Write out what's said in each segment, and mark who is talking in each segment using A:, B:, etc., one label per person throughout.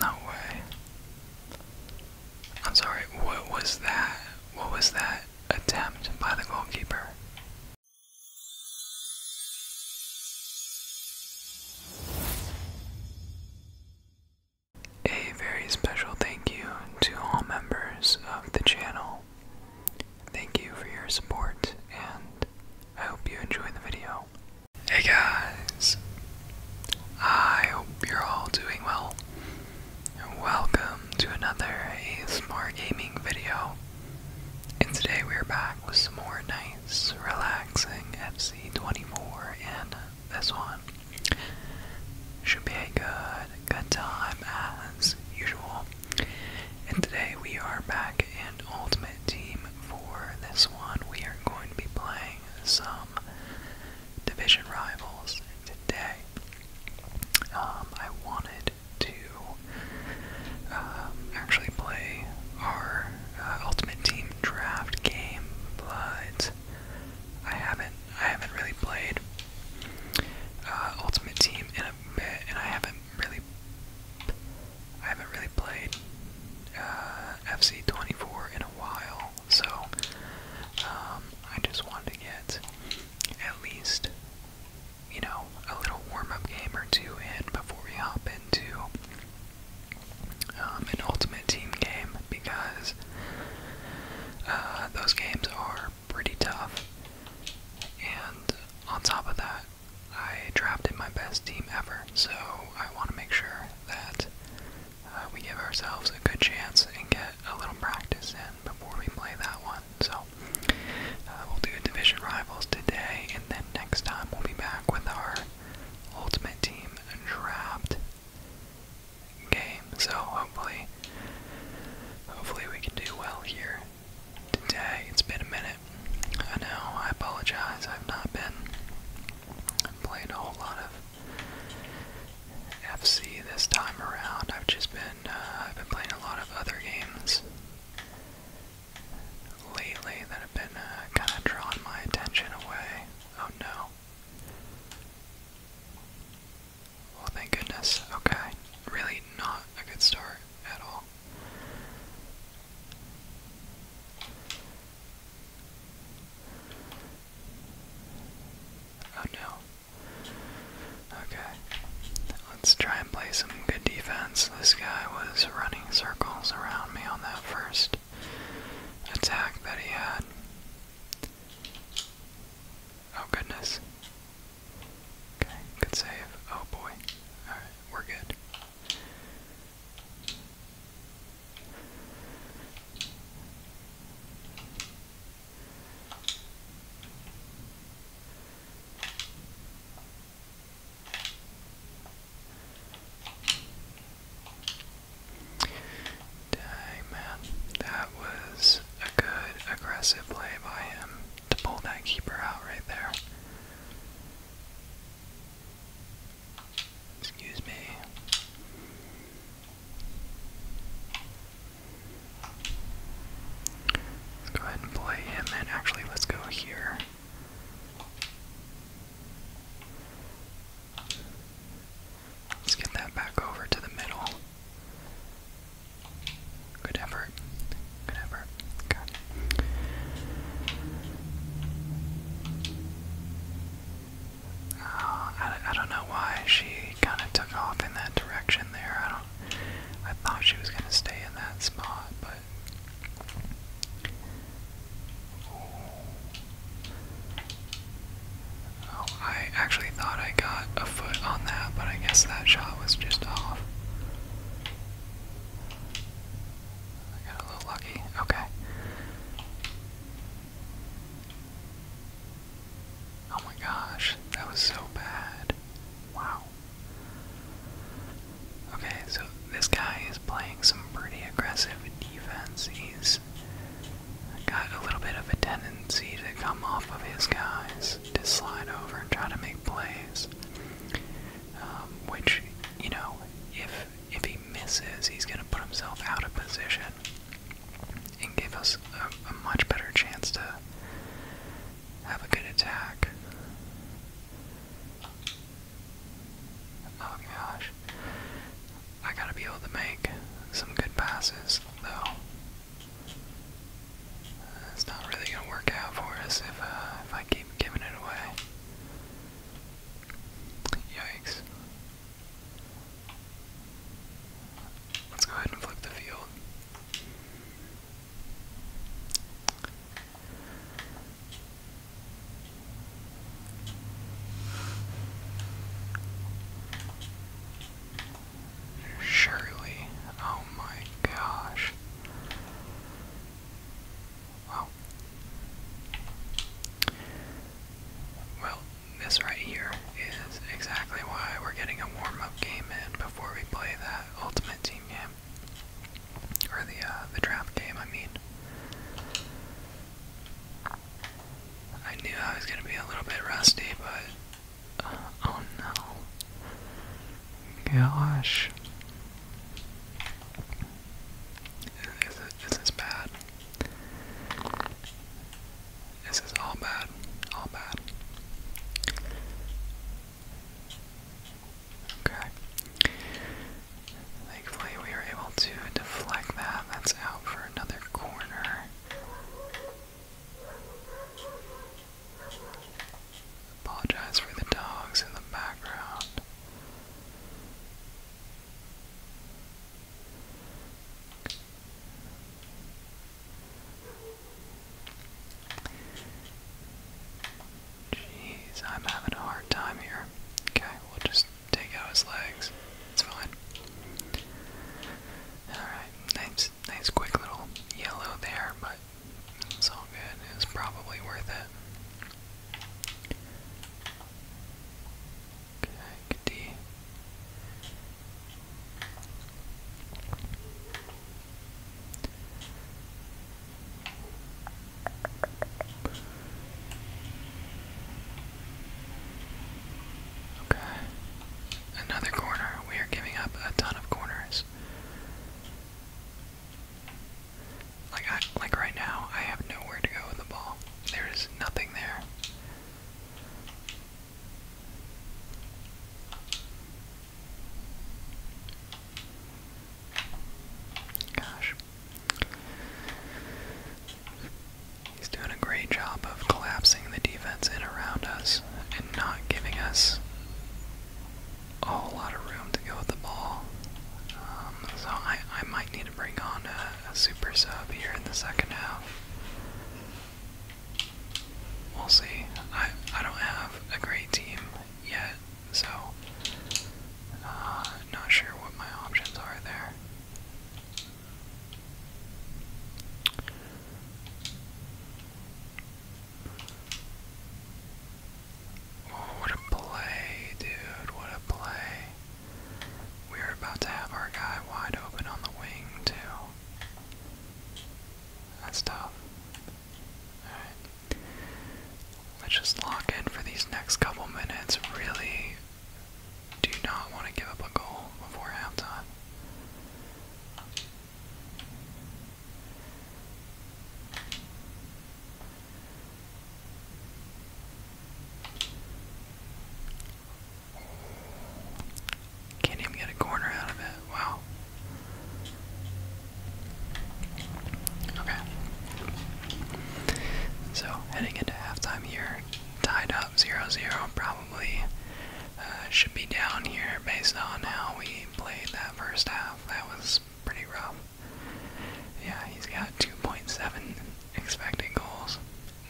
A: No way. I'm sorry, what was that? What was that attempt by the goalkeeper? A very special thank you to all members of the channel. Thank you for your support, and I hope you enjoy the video. Hey guys, I hope you're all doing well. Welcome to another ASMR gaming video. And today we're back with some more nice, relaxing FC24 and this one. Should be a good, good time as usual. And today we are back in Ultimate Team for this one. We are going to be playing some division rivals today. Um, I wanted to um, actually play our uh, Ultimate Team draft game, but I haven't. I haven't really played uh, Ultimate Team in a bit, and I haven't really I haven't really played uh, FC 24 in a while, so um, I just wanted to get at least, you know, a little warm-up game or two in before we hop into um, an Ultimate Team game because uh, those games are pretty tough. And on top of that, I drafted my best team ever, so I want to make sure that uh, we give ourselves a good chance and get a little practice in before we play that one. So uh, we'll do division rivals today, and then next time we'll be back with our ultimate team draft game. So hopefully, hopefully we can do well here today. It's been a minute. I know. I apologize. I've not been I'm playing a whole lot of FC this time around. I've just been uh, I've been playing a lot of other games lately that have been uh, kind of drawing my attention away. Oh no. Well, thank goodness. Okay. Really not a good start at all. Oh no. Okay. Let's try and play some good defense. This guy was running circles around me on that first attack that he had. Oh goodness. Okay, good save. Oh boy. Alright, we're good. Dang, man. That was a good aggressive play by him to pull that keeper out right there. Excuse me. Let's go ahead and play him, and actually, let's go here. Let's get that back over to the middle. Good effort. Good effort. Okay. I, don't know why she kind of took off in that direction there. I don't. I thought she was gonna stay in that spot, but. Oh, I actually thought I got a foot on that, but I guess that shot was just off. I got a little lucky. Okay. Oh my gosh, that was so bad. Wow. Okay, so this guy is playing some pretty aggressive defense. He's got a little bit of a tendency to come off of his guys, to slide over and try to make plays. Um, which, you know, if if he misses, he's going to put himself out of position and give us a, much better chance to have a good attack. Oh gosh. I gotta be able to make some good passes, though. It's not really gonna work out for us if, uh, if I keep giving it away. Yikes. Let's go ahead and flip the field. Surely. Oh my gosh. Wow. Well, this right here is exactly why we're getting a warm-up game in before we play that ultimate team game. Or the uh, the draft game, I mean. I knew I was gonna be a little bit rusty, but uh, oh no. Gosh. this is bad. This is all bad. All bad. Okay. Thankfully, we were able to deflect that. That's out for another corner. Apologize for the dogs in the background. Jeez, I'm having a hard time here. Okay, we'll just take out his legs. It's fine. Alright, nice nice quick little yellow there, but it's all good. It probably worth it. Good D. Okay. Another corner. We are giving up a ton of corners. Like I, like right now, I have nowhere to go with the ball. There is nothing there. Gosh. He's doing a great job of collapsing the defense in around us and not giving us a whole lot of room to go with the ball. Um, so I, I might need to bring on a, super sub here in the second half. We'll see. I, I don't have a great team yet, so uh, not sure what my options are there. what a play, dude. What a play. We are about to have our guy wide open on the wing, too. That's tough. Let's just lock in for these next couple minutes. Really do not want to give up a goal before halftime. Can't even get a corner out of it. Wow. Okay. So, heading into halftime here. Tied up 0 0. Probably uh, should be down here based on how we played that first half. That was pretty rough. Yeah, he's got 2.7 expected goals.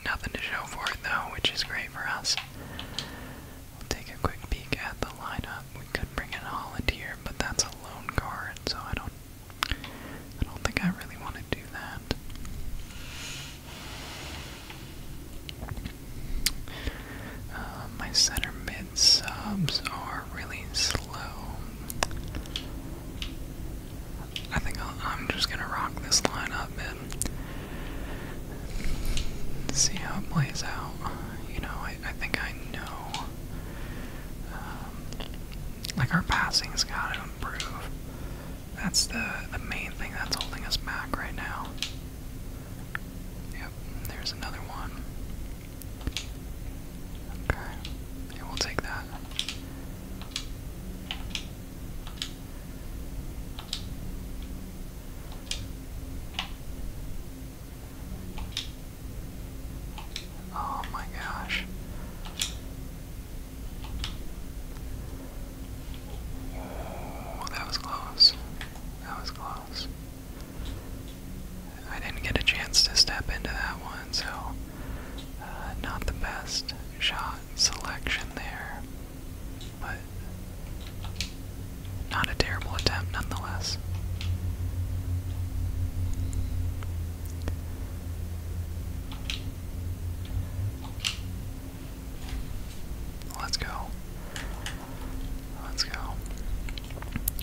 A: Nothing to show for it though, which is great for us. We'll take a quick peek at the lineup. We could bring in Holland here, but that's a lone card, so I don't I don't think I really want to do that. Uh, my center mid subs are really slow. I think i am just gonna rock this lineup and see how it plays out. You know, I, think I know. Um, like our passing's got to improve. That's the the main thing that's holding us back right now. Yep, there's another one. Okay, we'll take that. Oh my gosh. Oh, that was close. That was close. I didn't get a chance to step into that one, so uh, not the best shot selection there, but not a terrible attempt nonetheless. Let's go. Let's go.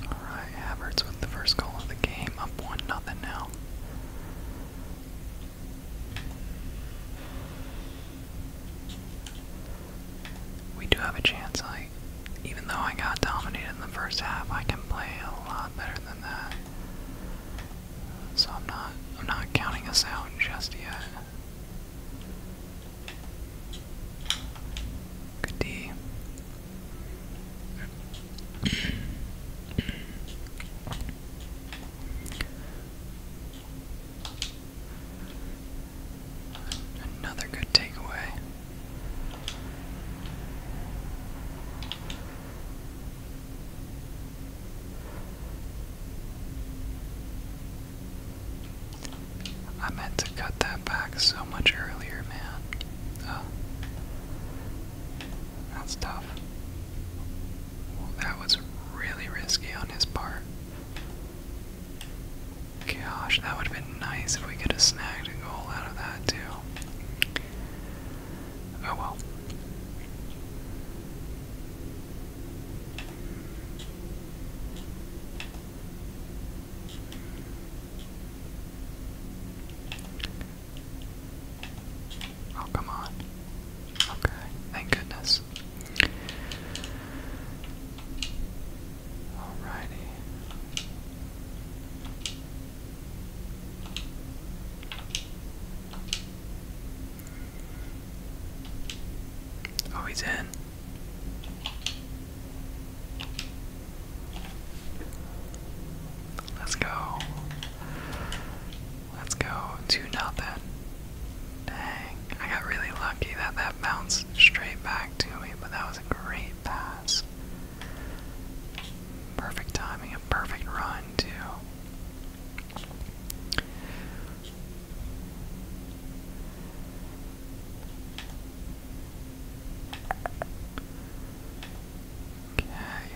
A: Alright, Havertz with the first goal of the game, up 1 nothing now. We do have a chance. I, even though I got dominated in the first half, I can play a lot better than that. So I'm not, I'm not counting us out just yet. Good D. Another good takeaway. I meant to cut that back so much earlier, man. Oh. That's tough that was really risky on his part. Gosh, that would have been nice if we could have snagged a goal out of that, too. Oh well. Oh, come on. Okay, thank goodness. Alrighty. Oh, he's in. Let's go. Let's go. 2 nothing. Dang. I got really lucky that that bounced straight back to me, but that was a great pass. Perfect timing, a perfect run, too. Okay,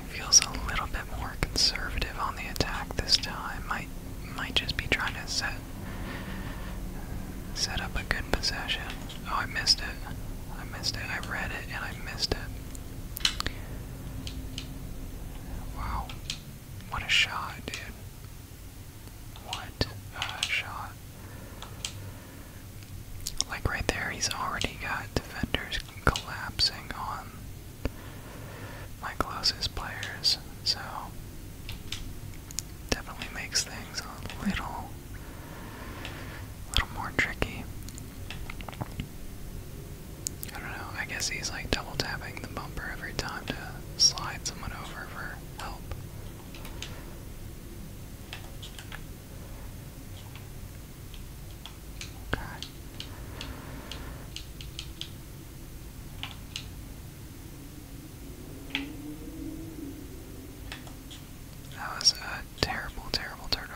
A: feels a little bit more conservative on the attack this time. Might might just be trying to set set up a good possession. Oh, I missed it. I missed it. I read it and I missed it. Wow. What a shot, dude. What a shot. Like right there, he's already got defenders collapsing on my closest players, so definitely makes things a little, little more tricky. I don't know. I guess he's like double tapping the bumper every time to slide someone over for help. That was a terrible, terrible turnover.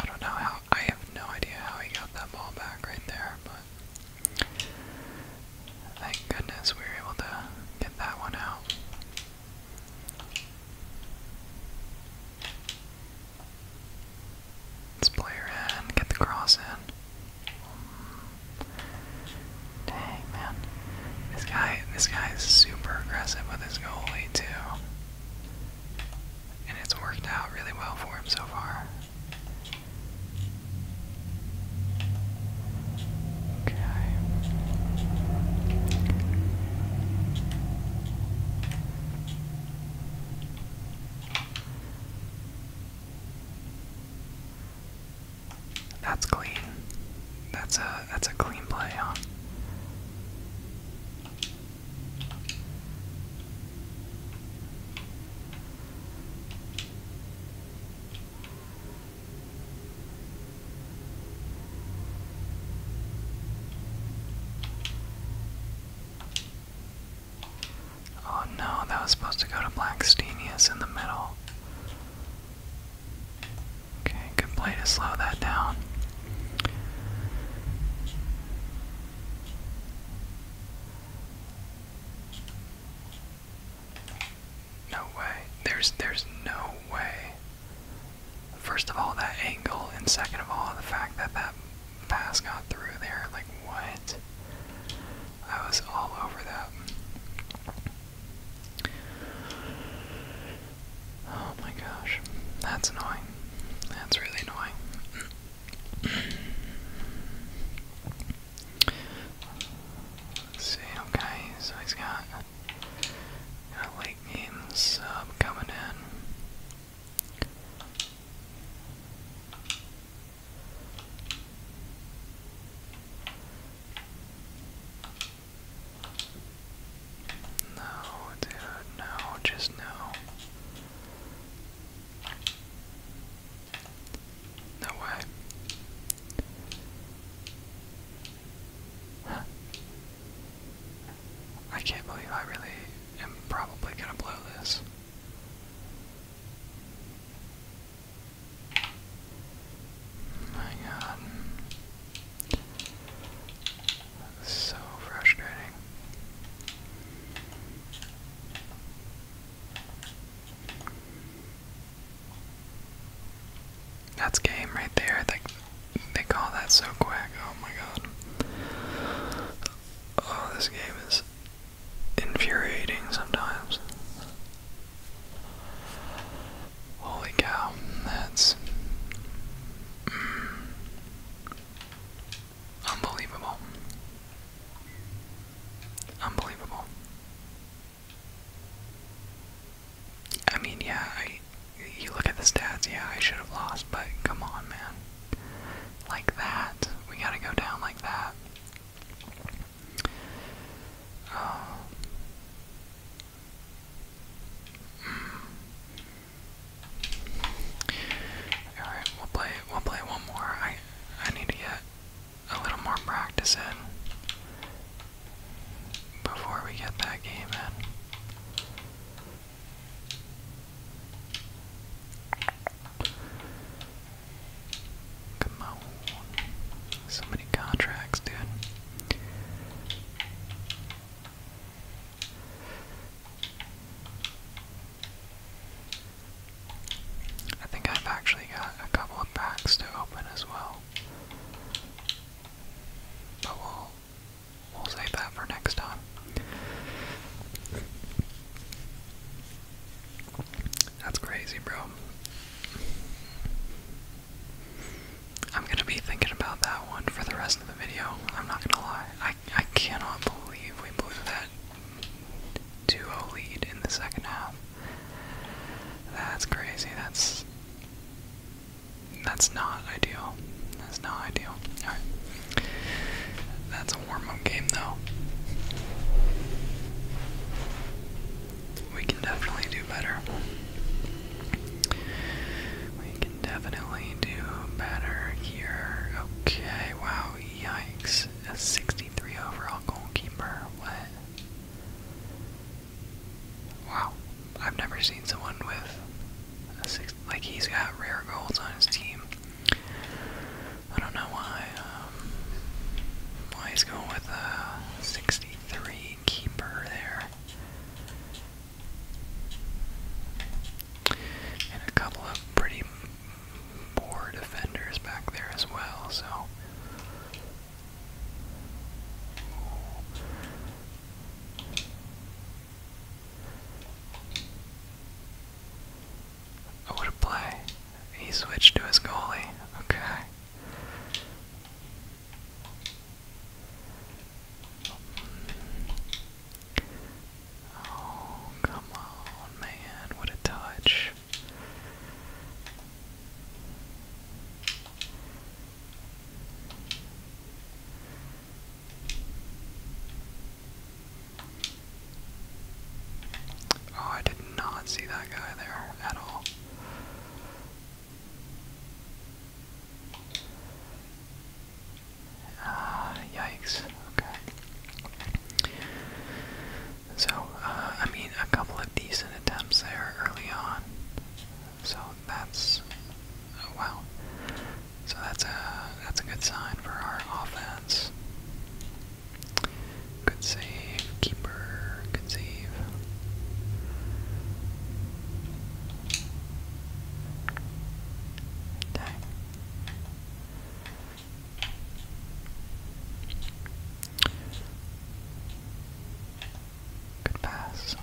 A: I don't know how. I have no idea how he got that ball back right there, but thank goodness we were able to get that one out. Let's play her in, get the cross in. dang man, this guy, this guy is super aggressive with his goalie too, and it's worked out really well for him so far. Okay. That's clean. That's a that's a clean play, huh? Oh no, that was supposed to go to Blackstenius in the middle. Okay, good play to slow that down. No way. There's there's no way. First of all, that angle, and second of all, the fact that that pass got through there. Like what? I was all over that. Oh my gosh, that's annoying. That's really annoying see, okay, so he's got a late game sub coming in. No, dude, no, just no. No way. I can't believe I really am probably gonna blow this. Oh my god. so frustrating. That's game right there. They, they call that so quick. Oh my god. Oh, this game is infuriating sometimes. Holy cow, that's. Mm. Unbelievable. Unbelievable. I mean, yeah, I, you look at the stats, yeah, I should have lost, but come on, man. Like that. We gotta go down like that. Oh. Hmm. Alright, we'll play we'll play one more. I need to get a little more practice in before we get that game in. Come on. So many contracts, dude. I think I've actually got a couple of packs to open as well. But we'll, we'll save that for next time. That's crazy, bro. I'm gonna be thinking about that one for the rest of the video. I'm not gonna lie. I I cannot believe we blew that 2 lead in the second half. That's crazy. That's that's not ideal. That's not ideal. That's a warm-up game, though. We can definitely do better. We can definitely do better here. Okay, wow, Yikes. A 63 overall goalkeeper. What? Wow. I've never seen someone with Like, he's got rare goals on his team. I don't know why. Um, why he's going with a 63 keeper there. And a couple of pretty more defenders back there as well, so. Oh, what a play. He switched to his goalie. Okay. Oh, come on, man. What a touch. Oh, I did not see that guy there at all. Ah, yikes. Okay. So, uh, I mean, a couple of decent attempts there early on. So that's oh, wow. So that's a that's a good sign for our offense. Good save, keeper. Good save. Dang. Good pass.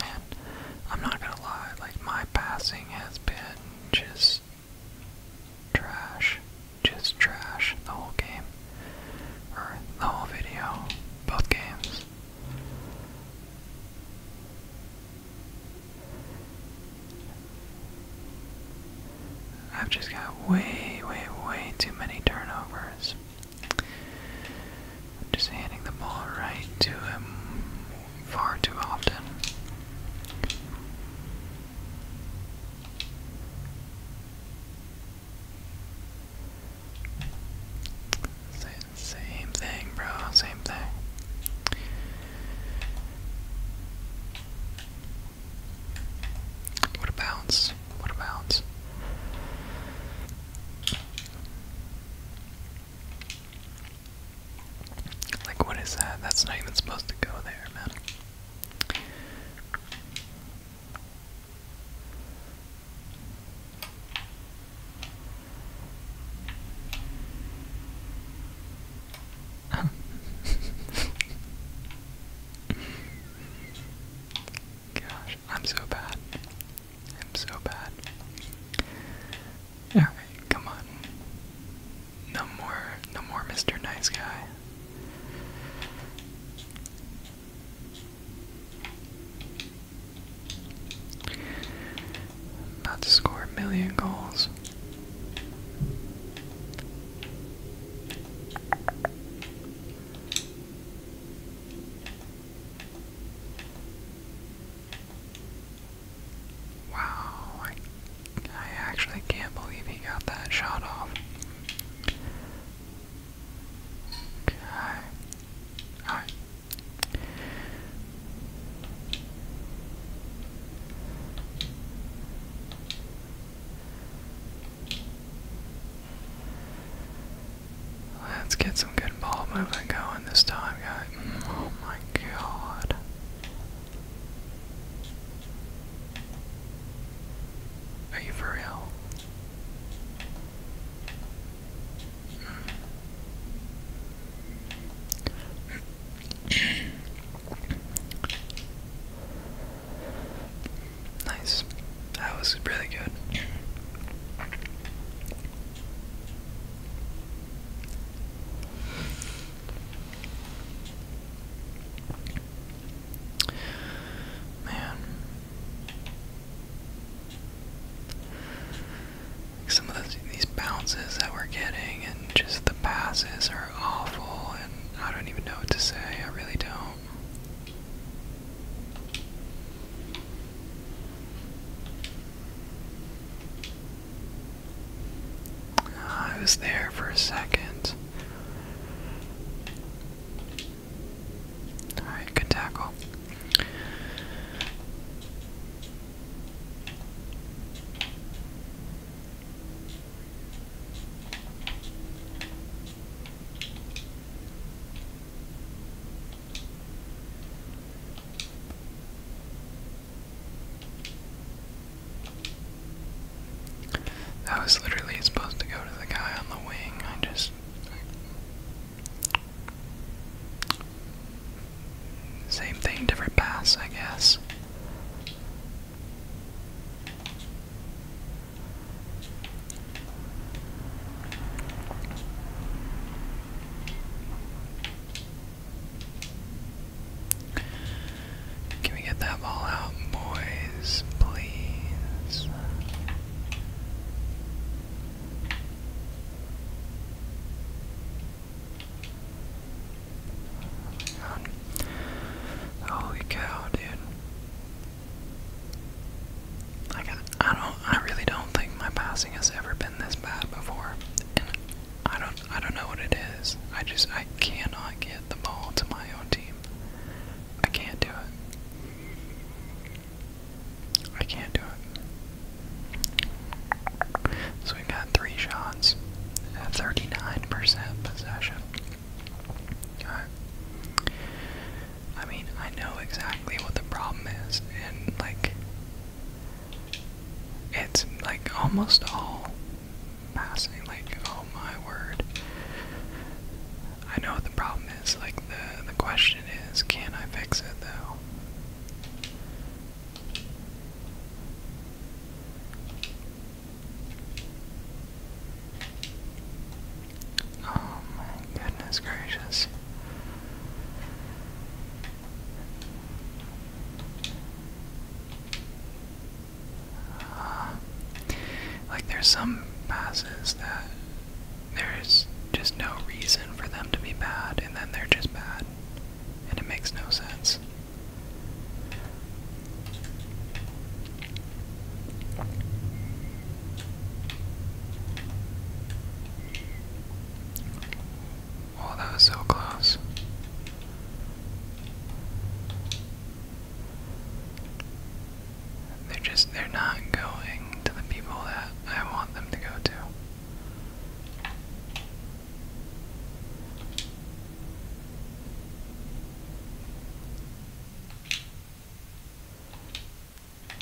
A: Man, I'm not gonna lie, like my passing has been just trash. Just trash the whole game. Or the whole video. Both games. I've just got way, way, way too many turnovers. I'm just handing the ball right to him far too often. Say same thing, bro. Same thing. What a bounce. What a bounce. Like, what is that? That's not even supposed to go there, man. Gosh, I'm so bad. I'm so bad. Alright, come on. No more, no more Mr. Nice Guy. About to score a million goals. Wow, I, I actually can't believe he got that shot off. Okay. Alright. Let's get some good ball movement going this time, guys. Oh my god. Are you for real? nice. That was really good. Man some of these bounces that we're getting and just the passes are awful and I don't even know what to say. I really don't. Ah, I was there for a second. Alright, good tackle. That was literally supposed to go to the guy on the wing. I just same thing, different pass, I guess. Can we get that ball out, boys, please? Holy cow, dude. Like, I, I don't, I really don't think my passing has ever been this bad before. I don't, I don't know what it is. I just, I cannot get the ball to my own team. I can't do it. I can't do it. So we've got three shots, 39% possession. Alright. I mean, I know exactly what the problem is, and like, it's like almost all passing. Like, oh my word. I know what the problem is. Like, the, the question is, can I fix it though? Oh my goodness gracious. Uh, like there's some passes that there's just no reason for them to be bad and then they're just bad and it makes no sense. Oh, that was so close. They're just, they're not going to the people that I want them to go to.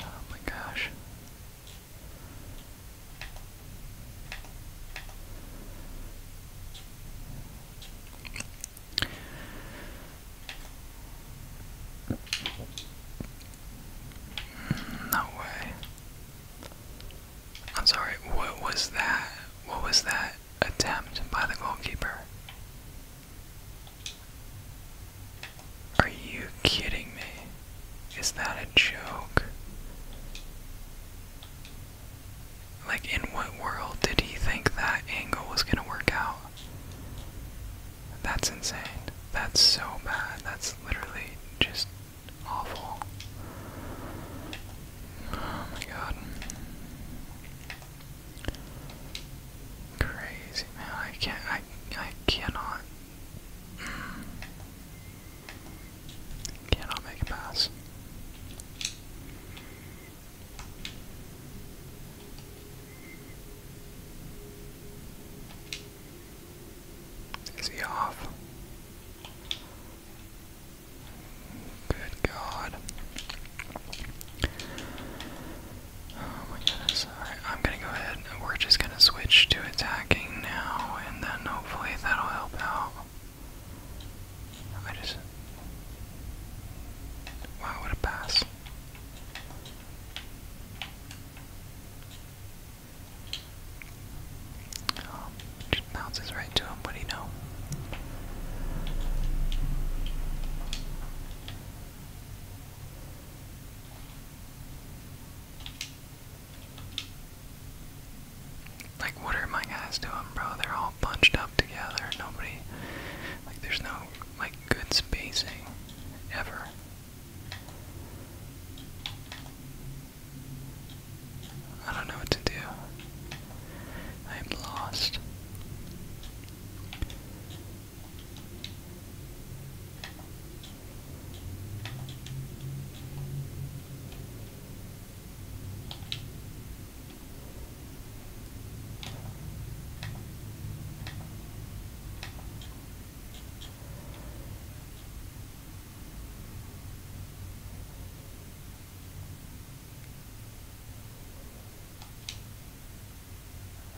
A: Oh my gosh. No way. I'm sorry, what was that? What was that attempt by the goalkeeper? Are you kidding me? Is that a joke? Like, in what world did he think that angle was gonna work out? That's insane. That's so bad. That's literally just awful. Oh my god. Crazy man, I can't I I cannot cannot make a pass. Is he off? Good God. Oh my goodness. Alright, I'm gonna go ahead we're just gonna switch to attacking now, and then hopefully that'll help out. I just. Wow, what a pass. Oh, bounces right to him, what do you know? Like, what are my guys doing, bro? They're all bunched up together. Nobody, like, there's no, like, good spacing ever. I don't know what to do. I am lost.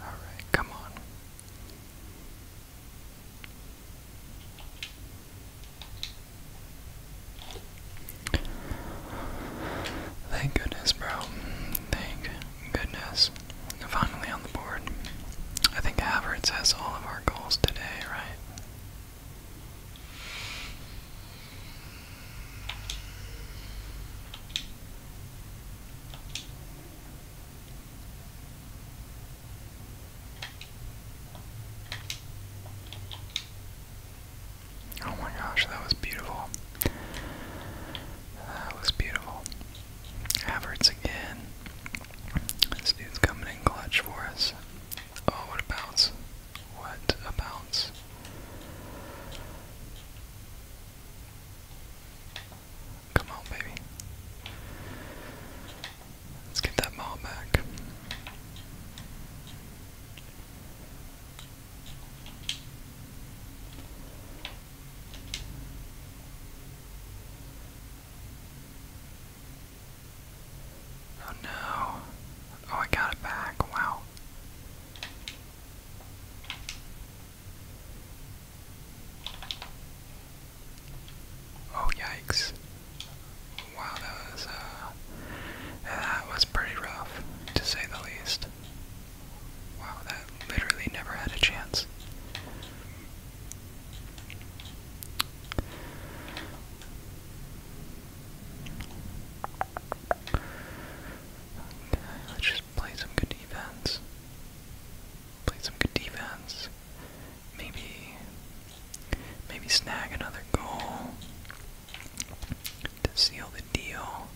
A: All right, come on. Thank goodness, bro. Thank goodness. Finally on the board. I think Havertz has all of our goals today, right? Oh my gosh, that was beautiful. That was beautiful. Havertz again. This dude's coming in clutch for us. Oh, what a bounce. What a bounce. Come on, baby. Let's get that ball back. Oh no. Oh, I got it back. Wow. Oh, yikes. Wow, that was, uh, that was pretty rough, to say the least. Wow, that literally never had a chance let's just play some good defense. Play some good defense. Maybe maybe snag another goal to seal the deal.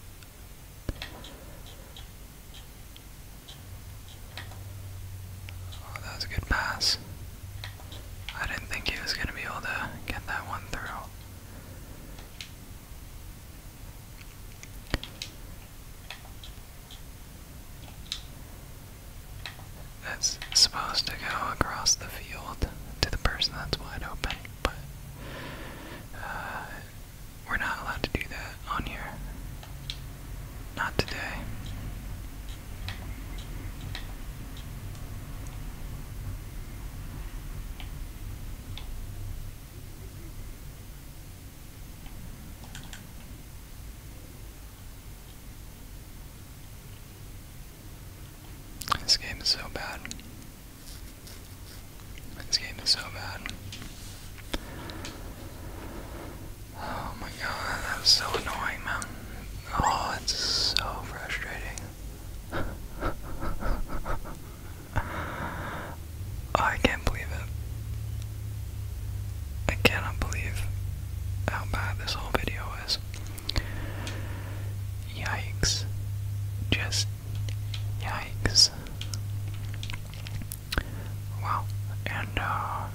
A: Oh, that was a good pass. I didn't think he was going to be able to get that one through. It's supposed to go across the field to the person that's wide open, but uh, we're not allowed to do that on here. Not today. This game is so bad. This game is so bad. Oh my god, that's so annoying, man. Oh, it's so frustrating. Oh, I can't believe it. I cannot believe how bad this whole video is. Yikes. Just yikes. Wow. And, uh,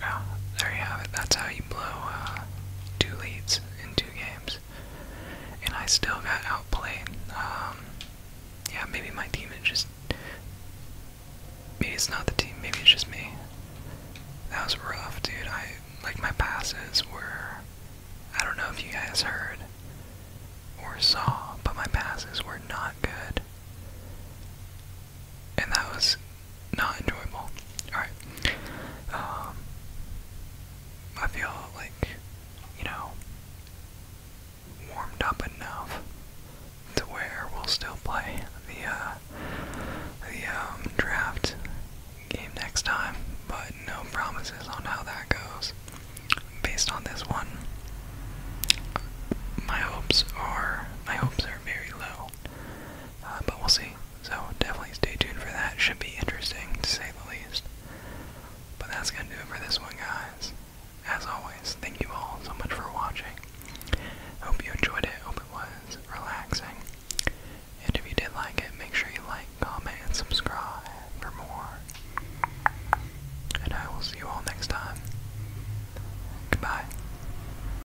A: Wow, there you have it. That's how you blow uh, two leads in two games. And I still got outplayed. Um, yeah, maybe my team is just. Maybe it's not the team, maybe it's just me. That was rough, dude. I. Like, my passes were. I don't know if you guys heard or saw, but my passes were not good and that was not enjoyable. All right. Um, I feel like you know warmed up enough to where we'll still play the uh, the um, draft game next time, but no promises on how that goes. Based on this one, my hopes are my hopes are very low. Uh, but we'll see. So definitely stay tuned for that. Should be interesting to say the least. But that's gonna do it for this one, guys. As always, thank you all so much for watching. Hope you enjoyed it. Hope it was relaxing. And if you did like it, make sure you like, comment, and subscribe for more. And I will see you all next time. Goodbye.